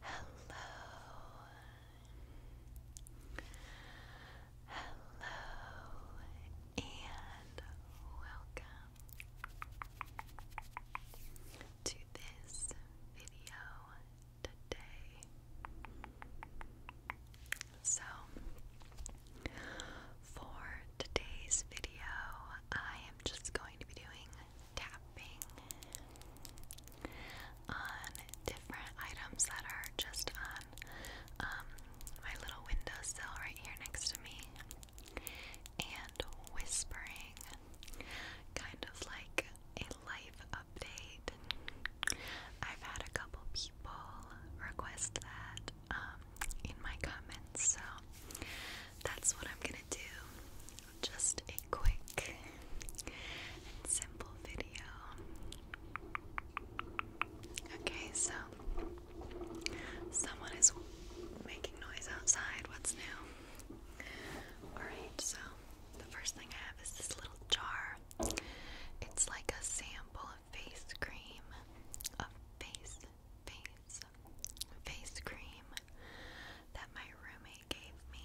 Hello. Hello and welcome to this video today. So, for today's video, I am just going to be doing tapping on different items that are just on um, my little windowsill right here next to me and whispering, kind of like a life update. I've had a couple people request that um, in my comments, so that's what I'm gonna do just a quick and simple video. Okay, so someone is making noise outside. What's new? Alright, so the first thing I have is this little jar. It's like a sample of face cream. Of face, face, face cream that my roommate gave me.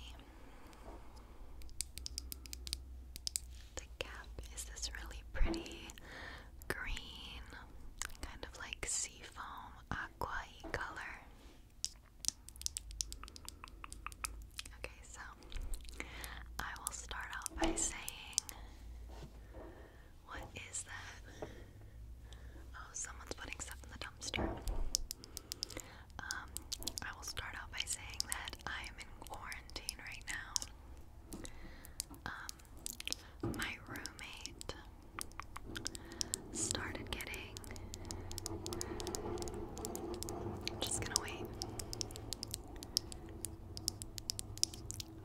The cap is this really pretty green, kind of like seafoam, aqua color. Okay, so I will start out by saying, What is that? Oh, someone's putting stuff in the dumpster. Um, I will start out by saying that I am in quarantine right now. Um, my roommate started getting. just gonna wait.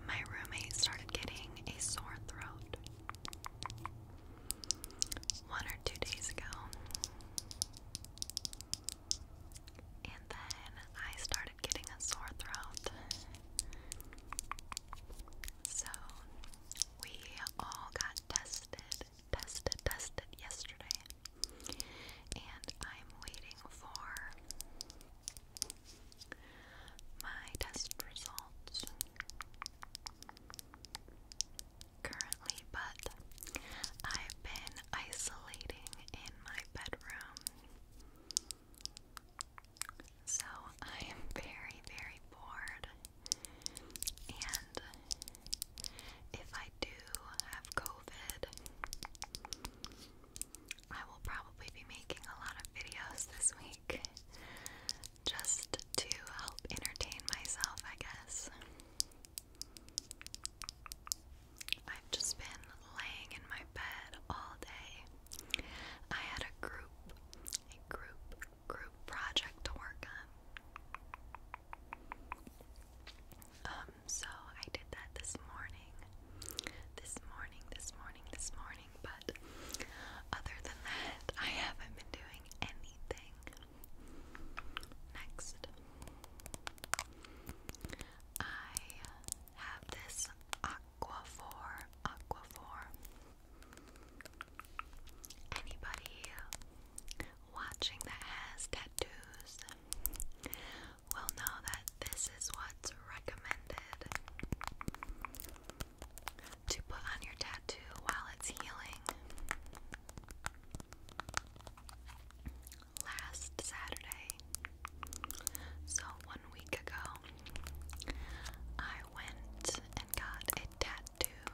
My roommate started getting a sore throat one or two days ago. And then I started getting a sore throat. So we all got tested, tested, tested yesterday. And I'm waiting for my test results currently, but I've been isolating in my bedroom. So I am very, very bored. And if I do have COVID, I will probably be making a lot of videos this week just to help entertain myself, I guess. I've just been laying in my bed all day. I had a group, a group, group project to work on. Um, so I did that this morning. This morning, this morning, this morning, but other than that, I haven't been doing doing anything. Next, I have this Aquaphor. Aquaphor. Anybody watching that has tattoos will know that this is what's recommended to put on your tattoo while it's healing. Last Saturday, so one week ago, I went and got a tattoo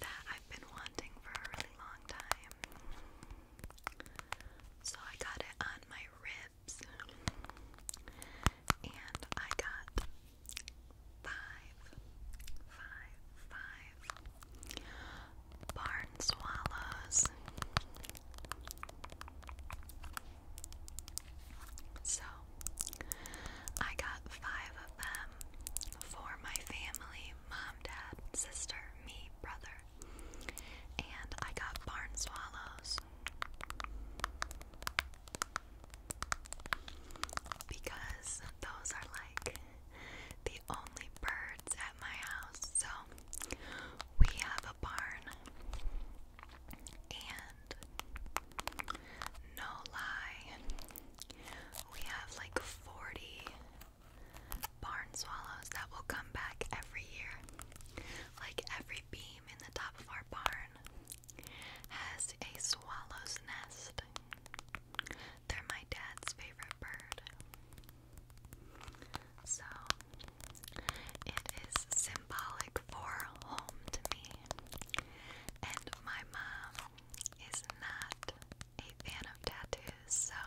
that I've been wanting for a really long time. So I got it on my rib tips. And I got five, five, five barn swallows. So I got five of them for my family mom, dad, sister, me, brother. And I got barn swallows because those are like the only birds at my house. So we have a barn, and no lie, we have like 40 barn swallows that will come back every year. Like every beam in the top of our barn has a swallow's nest. They're my dad's favorite bird. So, it is symbolic for home to me. And my mom is not a fan of tattoos, so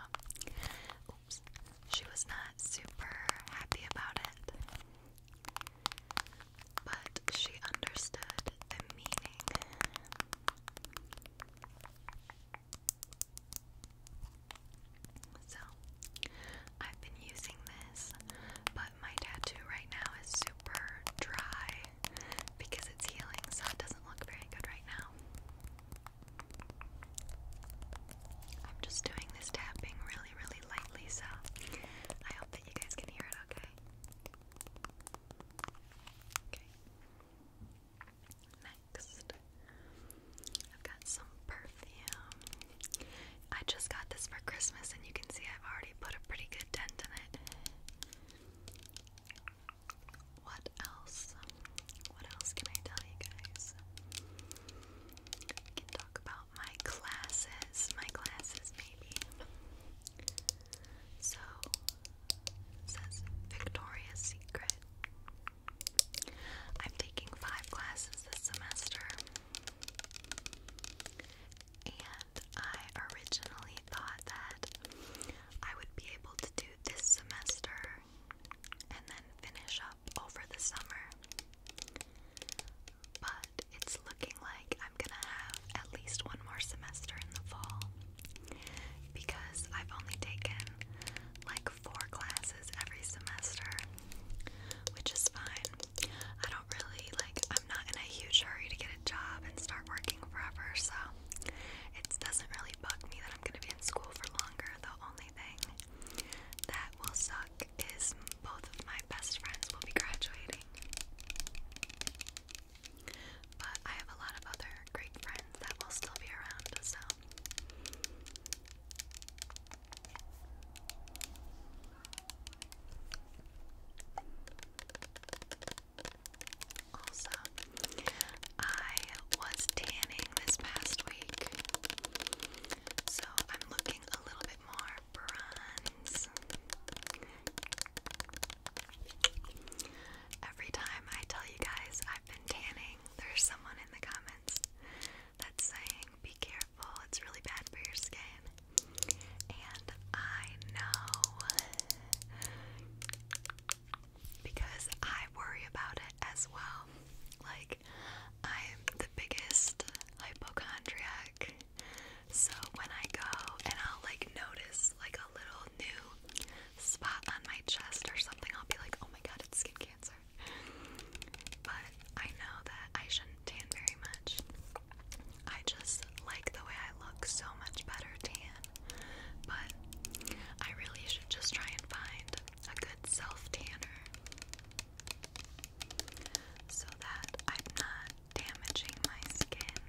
she was not super happy about it. But she understood the meaning. So, I've been using this, but my tattoo right now is super dry because it's healing, so it doesn't look very good right now. I'm just doing this tapping really, really lightly, so I hope you guys can hear it, okay? Okay. Next, I've got some perfume. I just got this for Christmas, and you can see I've already put a pretty good dent in it. What else? What else can I tell you guys? We can talk about my classes, my classes maybe. So, it says Victoria's Secret. I'm taking five classes this semester. And I originally thought that I would be able to do this semester and then finish up over the summer. But it's looking like I'm gonna have at least one more semester in the fall because I've only taken like four classes every semester, which is fine. I don't really like, I'm not in a huge hurry to get a job and start working forever, so it doesn't really bug me that I'm gonna be in school for longer. The only thing that will suck is both of my my best friends will be graduating. But I have a lot of other great friends that will still be around, so. Also, I was tanning this past week, so I'm looking a little more bronze. Every time I tell you guys I've been tanning, there's someone in the comments that's saying, be careful, it's really bad for your skin. And I know because I worry about it as well. Like, I'm the biggest hypochondriac so when I go and I'll like notice like a little new spot on my chest or something, I'll be like, oh my god, it's skin cancer. But I know that I shouldn't tan very much. I just like the way I look so much better tan. But I really should just try and find a good self tanner so that I'm not damaging my skin.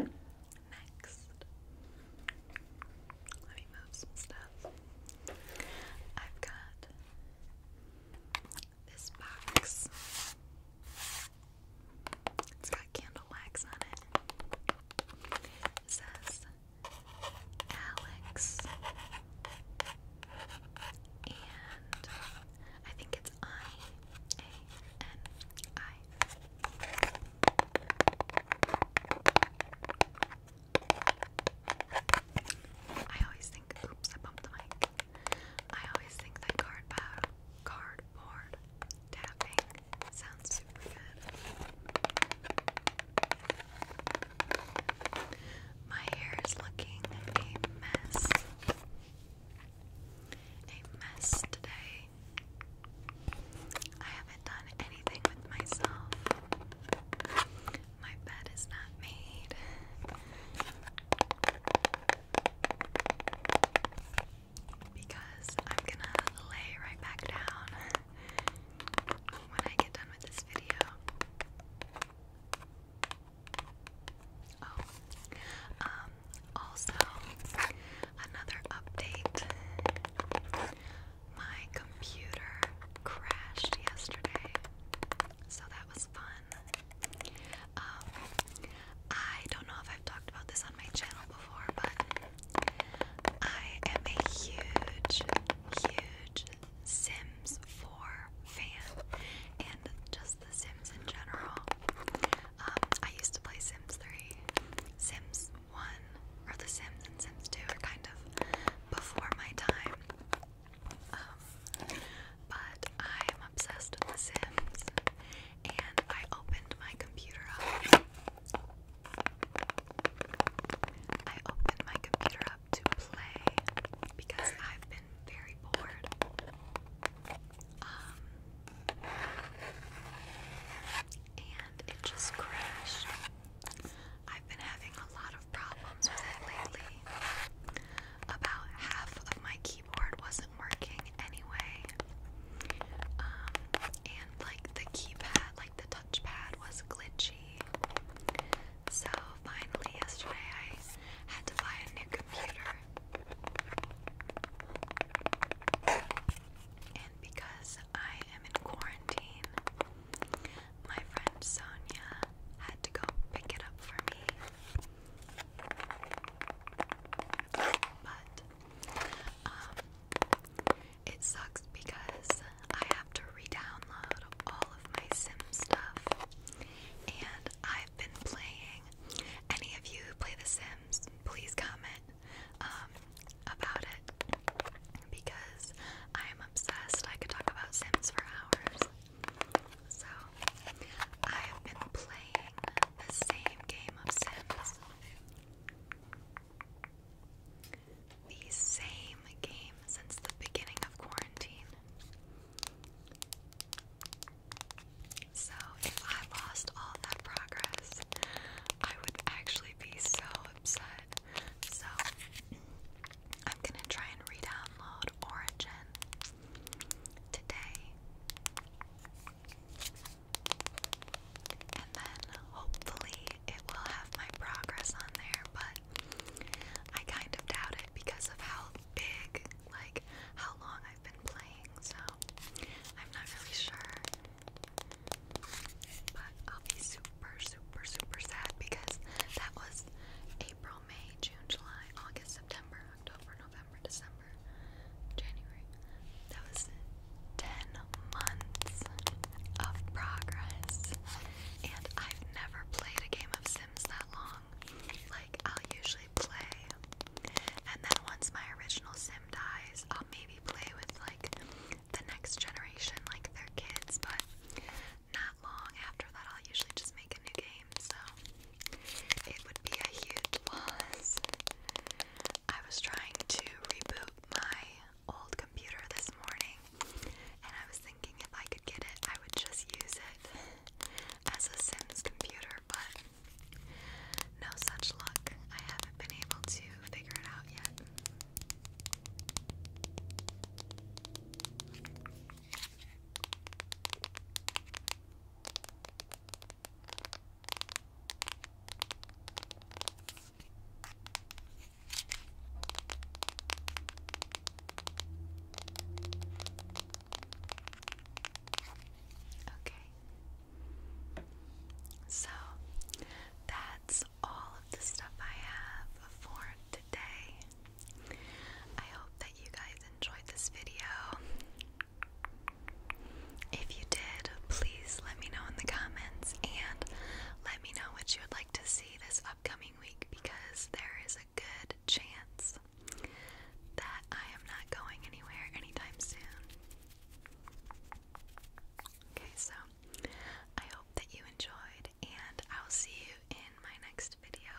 Okay. Next, let me move some stuff. I've got this box. It's got candle wax on it. It says Alex. And I think it's I A N I. I always think, oops, I bumped the mic. I always think that cardboard, tapping sounds super good. My hair is looking a mess. A mess today. I haven't done anything with myself. My bed is not made because I'm gonna lay right back down when I get done with this video. Oh, um, also, another update. My computer crashed yesterday, so that was fun. Um, I don't know if I've talked about this on my channel before, but I am a huge, huge Sims 4 fan and just the Sims in general. Um, I used to play Sims 3, Sims 1, or The Sims and Sims 2 are kind of before my time. Um, but I'm obsessed with The Sims, and I opened my computer up. I opened my computer up to play because I've been very bored. Um, and it just crashed. I've been having a lot of problems with it lately. About half of my keyboard wasn't working anyway. Um, and like the keypad, like the touchpad was glitchy. So finally yesterday I had to buy a new computer. And because I am in quarantine, my friend Sonia had to go pick it up for me. But um, it sucks because I have to re-download all of my Sim stuff. And I've been playing. Any of you who play The Sims, please comment um, about it because I'm obsessed. I could talk about Sims for hours. So, I have been playing the same game of Sims. The same game since the beginning of quarantine. So, if I lost all that progress, I would actually be so upset. So, I'm gonna try and re download Origin today. And then hopefully it will have my progress on there, but I kind of doubt it because of how big, like, how long I've been playing, so I'm not really sure. But I'll be super, super, super sad because that was April, May, June, July, August, September, October, November, December, January. That was 10 months of progress. And I've never played a game of Sims that long. Like, I'll usually play, and then once my original Sim dies, I'll maybe play with like the next generation, like their kids, but not long after that, I'll usually just make a new game game, so it would be a huge loss. I was trying to reboot my old computer this morning, and I was thinking if I could get it, I would just use it as a Sims computer, but no such luck. I haven't been able to figure it out yet. Okay. So that's all of the stuff I have for today. I hope that you guys enjoyed this video. If you did, please let me know in the comments and let me know what you would like to see this upcoming week because there is a good chance that I am not going anywhere anytime soon. Okay, so I hope that you enjoyed, and I'll see you in my next video.